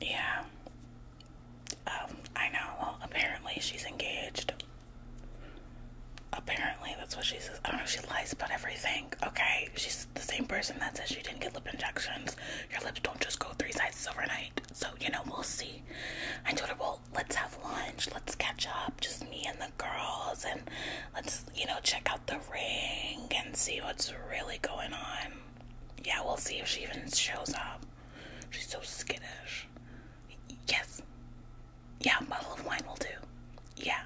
Yeah. Um, I know. Well, apparently she's engaged. Apparently, that's what she says. I don't know if she lies about everything. Okay, she's the same person that says she didn't get lip injections. Your lips don't just go three sizes overnight. So, you know, we'll see. I told her, well, let's have lunch. Let's catch up. Just me and the girls. And let's, you know, check out the ring and see what's really going on yeah, we'll see if she even shows up. She's so skittish. Yes. Yeah, bottle of wine will do. Yeah.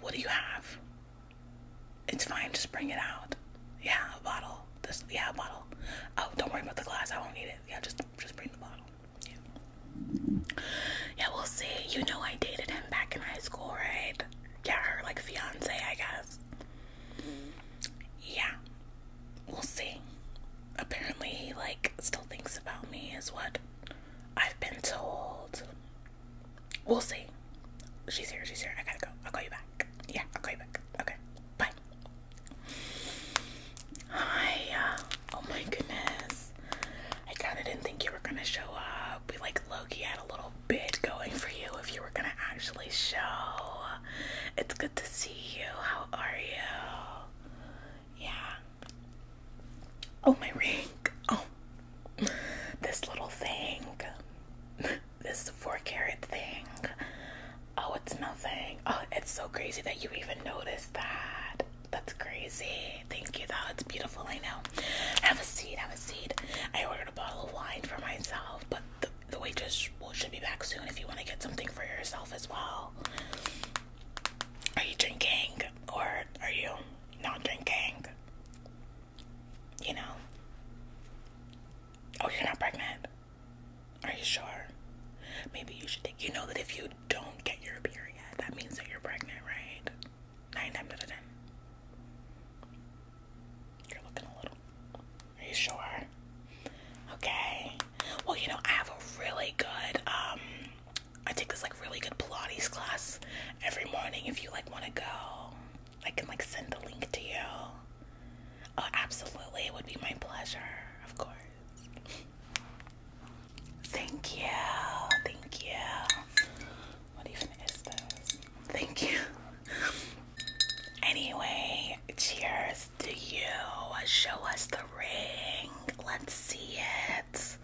What do you have? It's fine, just bring it out. Yeah, a bottle. This yeah, a bottle. Oh, don't worry about the glass, I won't need it. Yeah, just just bring the bottle. Yeah. Yeah, we'll see. You know I dated him back in high school, right? yeah, her like fiance, I guess. Yeah, we'll see. Apparently, he like still thinks about me, is what I've been told. We'll see. She's here, she's here. I gotta go. I'll call you back. Yeah, I'll call you back. Okay, bye. Hi, uh, oh my goodness. I kinda didn't think you were gonna show up. We like Loki had a little Bit going for you if you were gonna actually show. It's good to see you. How are you? Yeah. Oh, my ring. Oh, this little thing. This four carat thing. Oh, it's nothing. Oh, it's so crazy that you even noticed that. That's crazy. Thank you, though. It's beautiful. I know. Have a seat. Have a seat. I a bottle of wine for myself, but the, the waitress should be back soon if you want to get something for yourself as well. Are you drinking or are you not drinking? You know? Oh, you're not pregnant? Are you sure? Maybe you should You know that if you don't get your period, that means that you're pregnant, right? Nine you You're looking a little. Are you sure? Okay. Well, you know, I have a really good, um, I take this like really good Pilates class every morning if you like want to go. I can like send the link to you. Oh, absolutely. It would be my pleasure, of course. Thank you. Thank you. What even is this? Thank you. Anyway, cheers to you. Show us the ring. Let's see it.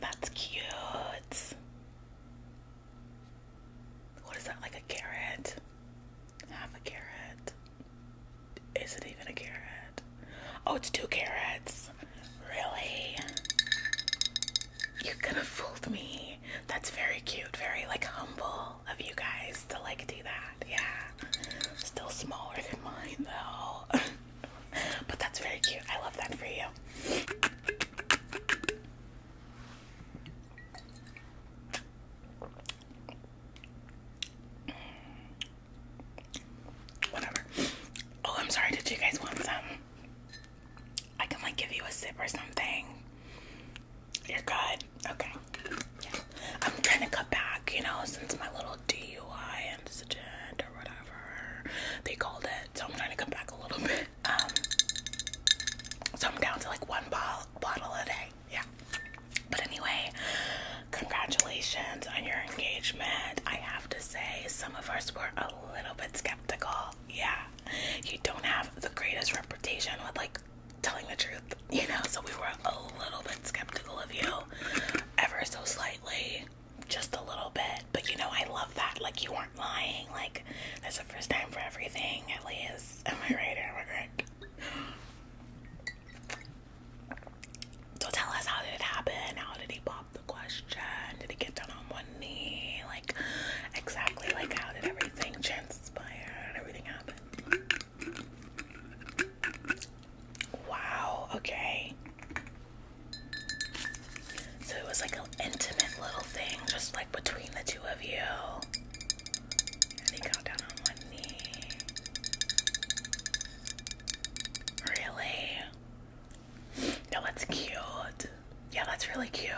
That's cute. What is that, like a carrot? Half a carrot. Is it even a carrot? Oh, it's two carrots. Really? You are gonna fool me. That's very cute, very like humble of you guys to like do that. Yeah. Still smaller than mine though. but that's very cute. I love that for you. Whatever. Oh, I'm sorry. Did you guys want some? I can like give you a sip or something. You're good. Okay. I'm trying to cut back, you know, since my little DUI incident or whatever they called it. So I'm trying to cut back a little bit. Um so I'm down to like one bottle bottle a day. Yeah. But anyway, congratulations on your engagement. I have to say some of us were a little bit skeptical yeah, you don't have the greatest reputation with like telling the truth, you know. So we were a little bit skeptical of you, ever so slightly, just a little bit. But you know, I love that. Like you weren't lying. Like that's the first time for everything. At least, am I right? Am I correct? So tell us how did it happen? How did he buy the question? Did it get done on one knee? Like, exactly like how did everything transpire and everything happen? Wow, okay. So it was like an intimate little thing, just like between the two of you. And he got down on one knee. Really? No, that's cute. Yeah, that's really cute.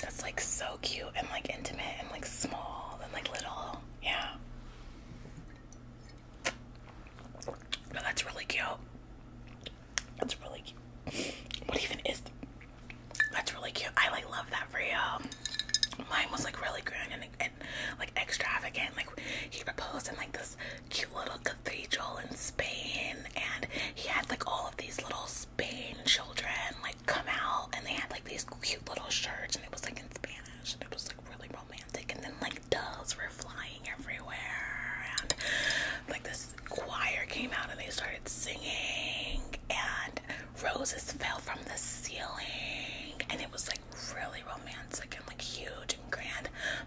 That's like so cute and like intimate and like small and like little. Yeah. No, that's really cute. That's really cute. What even is th that's really cute. I like love that for you. Mine was like really grand and, and like extravagant. Like he proposed in like this cute little cathedral in Spain, and he had like all of these little Spain children like come out, and they had like these cute little shirts, and it was like in Spanish, and it was like really romantic. And then like doves were flying everywhere, and like this choir came out and they started singing, and roses fell from the ceiling, and it was like really romantic and like huge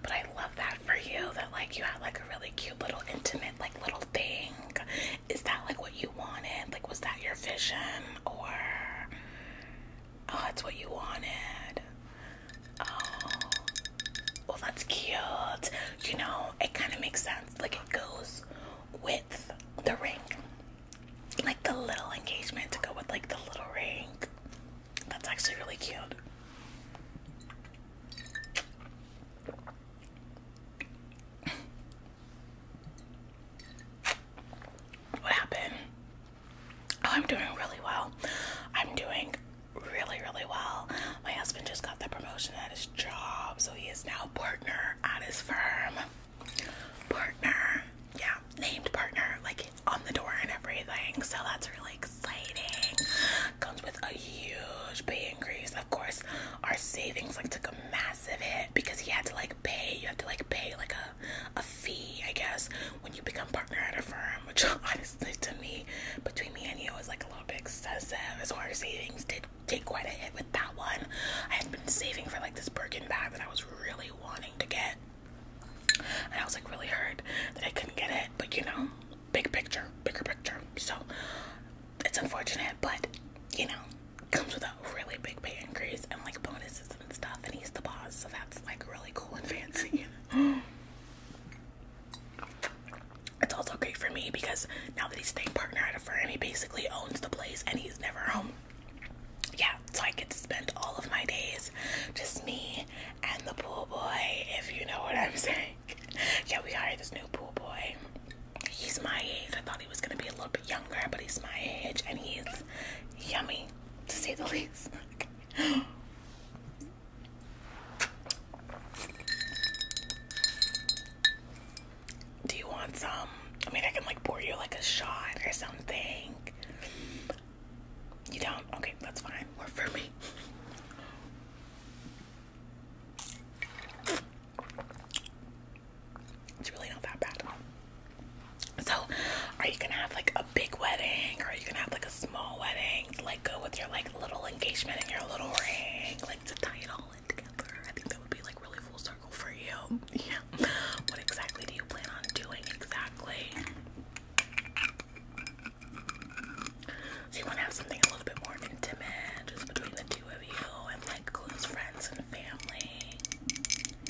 but I love that for you that like you had like a really cute little intimate like little thing. Is that like what you wanted? Like was that your vision or oh that's what you wanted? Oh well that's cute. You know, it kinda makes sense. Like it goes with the ring. Like the little engagement to go with like the little ring. That's actually really cute. What happened? Oh, I'm doing really well. I'm doing really, really well. My husband just got the promotion at his job, so he is now partner at his firm. Partner, yeah, named partner, like on the door and everything. So that's really exciting. Comes with a huge pay increase. Of course, our savings like took a massive hit because he had to like pay. You have to like pay like a a fee, I guess, when you become partner at a firm. Which honestly, to me, between me and you, is like a little bit excessive. As far as savings did take quite a hit with that one. I had been saving for like this Birkin bag that I was really wanting to get. And I was like really hurt that I couldn't get it, but you know, big picture, bigger picture. So it's unfortunate, but you know, comes with a really big pay increase and like bonuses and stuff. And he's the boss, so that's like really cool and fancy. it's also great for me because now that he's staying partner at a firm, he basically owns the place and he's never home. Yeah, so I get to spend all of my days just me and the pool boy, if you know what I'm saying yeah, we hired this new pool boy. He's my age. I thought he was gonna be a little bit younger, but he's my age, and he's yummy, to say the least. Do you want some? I mean, I can like pour you like a shot or something. You don't? Okay, that's fine. Or for me. It's really not that bad. So, are you gonna have like a big wedding, or are you gonna have like a small wedding? Like, go with your like little engagement and your little ring, like to tie it all together. I think that would be like really full circle for you. Yeah. What exactly do you plan on doing exactly? So you want to have something a little bit more intimate, just between the two of you and like close friends and family.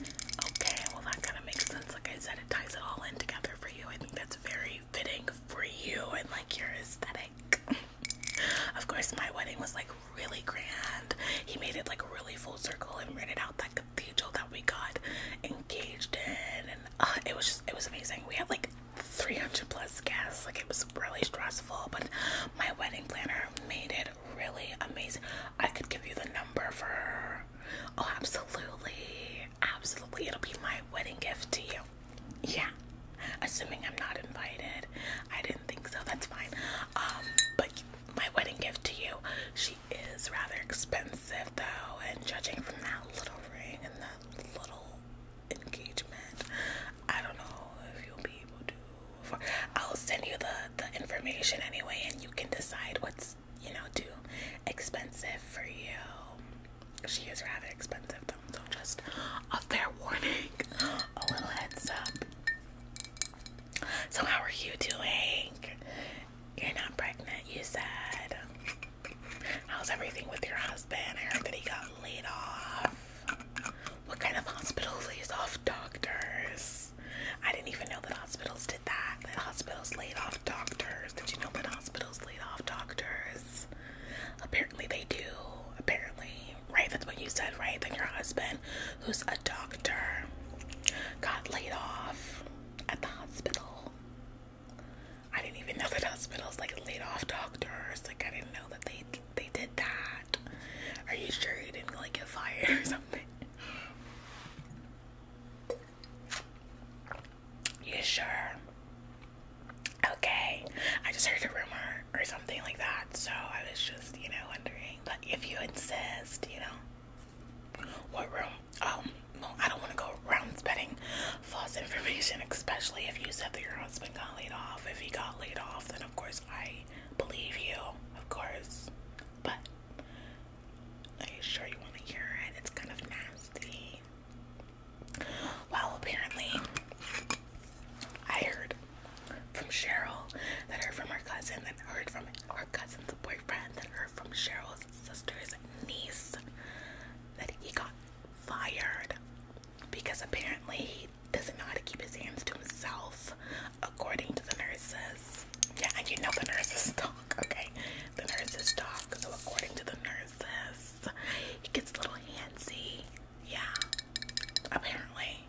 Okay, well that kind of makes sense. Like I said, it ties it all in together for you. I think that's very fitting for you and like your aesthetic. of course, my wedding was like really grand. He made it like really full circle and rented out that cathedral that we got engaged in, and uh, it was just it was amazing. We had like 300 plus guests. Like it was really stressful, but my wedding planner made it really amazing. I could give you the number for Oh, absolutely. Absolutely. It'll be my wedding gift to you. Yeah. Assuming I'm not invited. I didn't think so. That's fine. Um, but my wedding gift to you. She is rather expensive though, and judging from that little ring and the little engagement. I don't know if you'll be able to. I'll send you the the information anyway, and you can decide what's you know too expensive for you. She is rather expensive though, so just a fair warning, a little heads up. So how are you doing? You're not pregnant, you said. How's everything with your husband? I heard that he got laid off. What kind of hospital lays off doctors? I didn't even know that hospitals did that. That hospitals laid off doctors. Did you know that hospitals laid off doctors? Apparently they do. Apparently. Right? That's what you said, right? That your husband, who's a doctor, got laid off at the hospital. I didn't even know that hospitals like laid off doctors. Like I didn't know that they they did that. Are you sure you didn't like get fired or something? You sure? Okay. I just heard a rumor or something like that, so I was just, you know, wondering. But if you insist, you know. What rumor? Um, no, I don't want to go around spreading false information, especially if you said that your husband got laid off. If he got laid off, then of course I believe you, of course. But are you sure you want to hear it? It's kind of nasty. Well, apparently, I heard from Cheryl that heard from her cousin, that heard from her cousin's boyfriend, that heard from Cheryl's sister's niece that he got fired because apparently he doesn't know how to keep his hands to himself, according to the nurses. Yeah, and you know the nurses talk, okay? The nurses talk, so according to the nurses, he gets a little handsy. Yeah, apparently.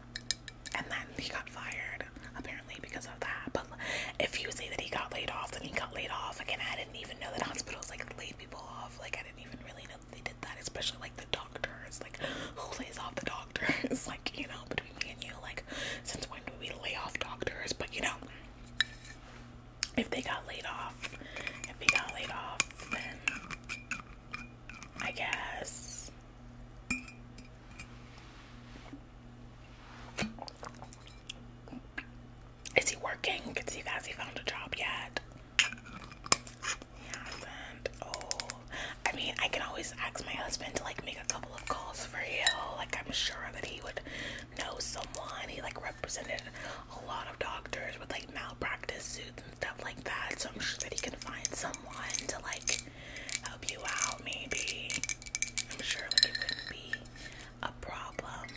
And then he got fired, apparently, because of that. But if you say that he got laid off, then he got laid off. Again, I didn't even know that hospitals like lay people off. Like I didn't even really know they did that, especially like the doctors. Like who lays off the doctors? like you know, between me and you, like since when do we lay off doctors? But you know, if they got laid off, if they got laid off, then I guess. Is he working? Because you guys he found a job yet. He hasn't. Oh, I mean, I can always ask my husband to like make a couple of calls for you. Like, I'm sure that he would know someone. He like represented a lot of doctors with like malpractice suits and stuff like that. So I'm sure that he can find someone to like help you out. Maybe I'm sure like it wouldn't be a problem.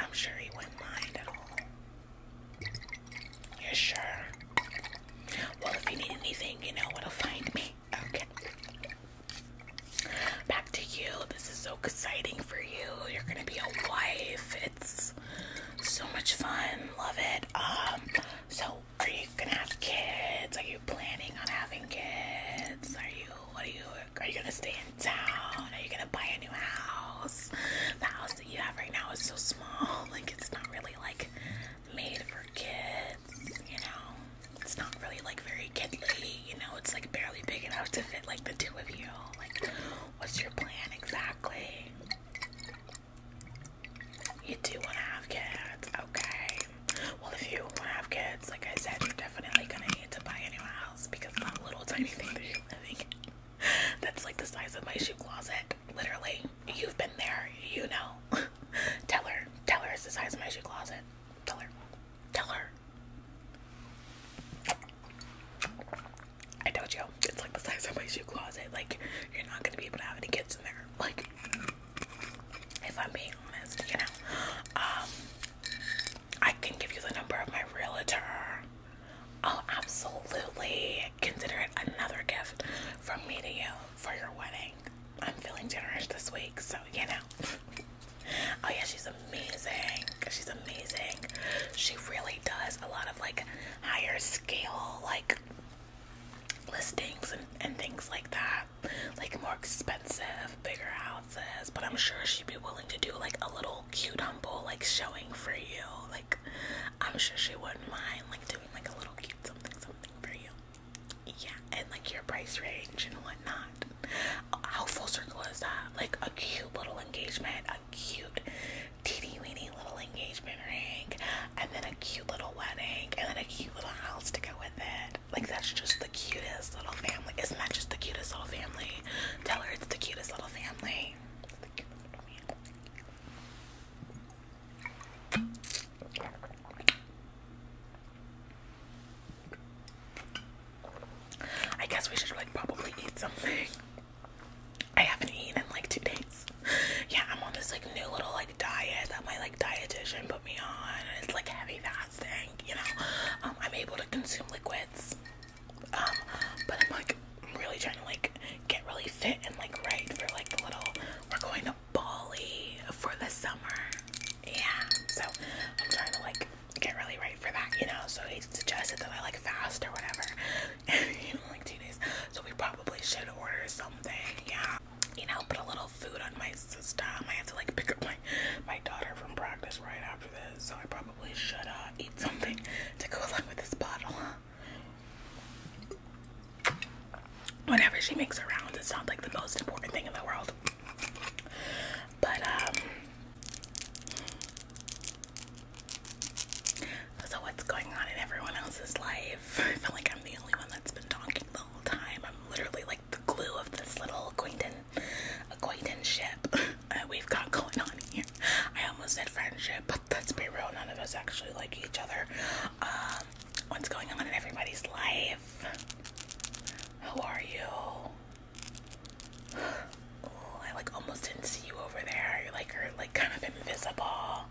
I'm sure he wouldn't mind at all. Yeah, sure. Well, if you need anything, you know where to find me. Okay. Back to you. This is so exciting for you. You're gonna be a wife. It's so much fun. Love it. Um. So, are you gonna have kids? Are you planning on having kids? Are you? What are you? Are you gonna stay in town? Are you gonna buy a new house? The house that you have right now is so small, like it's not really like made for kids, you know? It's not really like very kidly, you know, it's like barely big enough to fit like the two of you. Like, what's your plan exactly? You do want to have kids, okay? Well, if you want to have kids, like I said, you're definitely gonna need to buy a new house house because that little tiny thing that you're living that's like the size of my shoe closet. Literally, you've been there, you know. tell her, tell her it's the size of my shoe closet. Tell her, tell her. I told you, it's like the size of my shoe closet. Like, you're not gonna be able to have any kids in there. Like, if I'm being honest, you know. Um, I can give you the number of my realtor. I'll absolutely consider it another gift from me to you for your wedding. I'm feeling generous this week, so you know. oh, yeah, she's amazing. She's amazing. She really does a lot of like higher scale, like listings and, and things like that, like more expensive, bigger houses but I'm sure she'd be willing to do like a little cute humble like showing for you. Like I'm sure she wouldn't mind like doing like a little cute something something for you. Yeah, and like your price range and whatnot. How full circle is that? Like a cute little engagement, a cute teeny weeny little engagement ring, and then a cute little wedding, and then a cute little house to go with it. Like that's just the cutest little family. It's not just the cutest little family. Tell her it's the cutest little family. I guess we should like probably eat something. I haven't eaten in like two days. Yeah, I'm on this like new little like diet that my like dietitian put me on. It's like heavy fasting, you know. Um, I'm able to consume liquids. Um, but I'm like really trying to like get really fit and like right for like the little we're going to Bali for the summer. Yeah. So I'm trying to like get really right for that, you know. So he suggested that I like fast or whatever. you like two days. So we probably should order something, yeah. You know, put a little food on my system. I have to like pick up my my daughter from practice right after this, so I probably should eat something to go along with this bottle. Whenever she makes her rounds, it's not like the most important thing in the world. But um so what's going on in everyone else's life? I feel like I'm the only one that's been talking the whole time. I'm literally like the glue of this little acquaintance acquaintanceship uh, we've got going on here. I almost said friendship, but let's be real, none of us actually like each other. Um, what's going on in everybody's life? How are you? I like almost didn't see you over there. You're like you're like kind of invisible.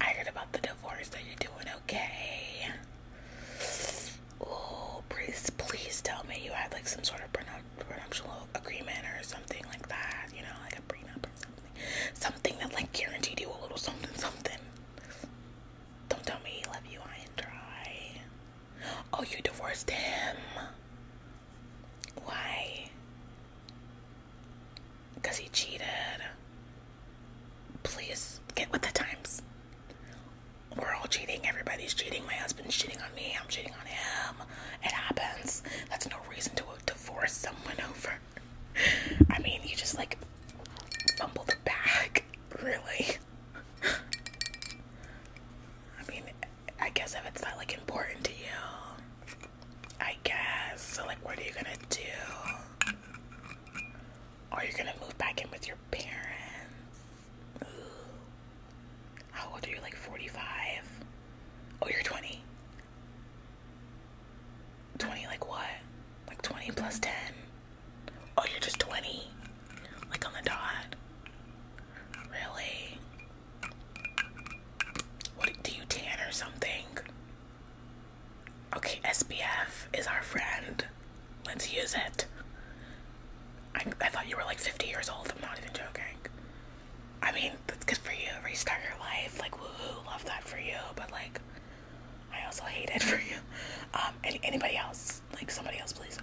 I heard about the divorce. Are you doing okay? Oh, please, please tell me you had like some sort of prenup prenuptial agreement or something like that. You know, like a prenup or something, something that like guaranteed you a little something, something. Don't tell me he left you high and dry. Oh, you divorced him. Why? Because he cheated. Please get with the times we're all cheating. Everybody's cheating. My husband's cheating on me. I'm cheating on him. It happens. That's no reason to divorce someone over. I mean, you just like fumble the bag, really. I mean, I guess if it's not like important to you, I guess. So, like, what are you gonna do? Are you gonna move back in with your parents? How old are you? Like 45? Oh, you're 20. 20, like what? Like 20 plus 10? Oh, you're just 20. Like on the dot. Really? What do you tan or something? Okay, SPF is our friend. Let's use it. I, I thought you were like 50 years old. I'm not even joking. I mean, that's good for you. Restart your life. Like, woohoo. Love that for you. But, like, I also hate it for you. Um, any, anybody else? Like, somebody else, please.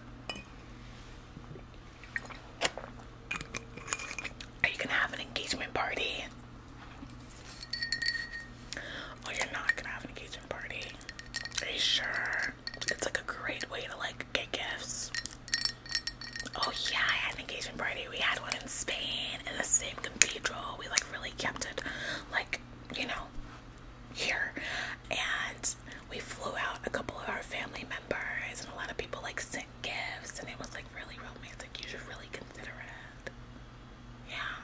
Are you gonna have an engagement party? Oh, you're not gonna have an engagement party. Are you sure? It's like a great way to like get gifts. Oh yeah, I had an engagement party. We had one in Spain in the same cathedral. We like really kept it like, you know, here. And we flew out a couple of our family members and a lot of people like sent gifts and it was like really romantic. You should really consider it. Yeah.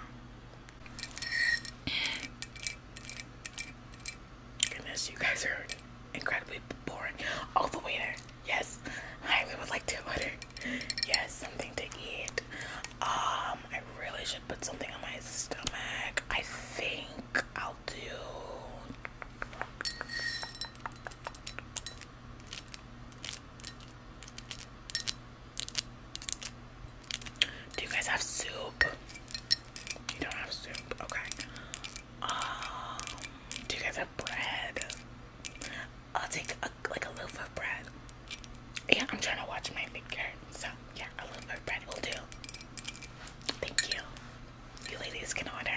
Goodness, you guys are incredibly boring. All oh, the waiter. Yes, I would like to order. Yes, something to eat. Um, I really should put something on my stomach. I think I'll do. Do you guys have soup? You don't have soup. Okay. Um, do you guys have bread? I'll take like a loaf of bread. Yeah, I'm trying to watch my figure. So, yeah, a loaf of bread will do. Thank you. You ladies can order.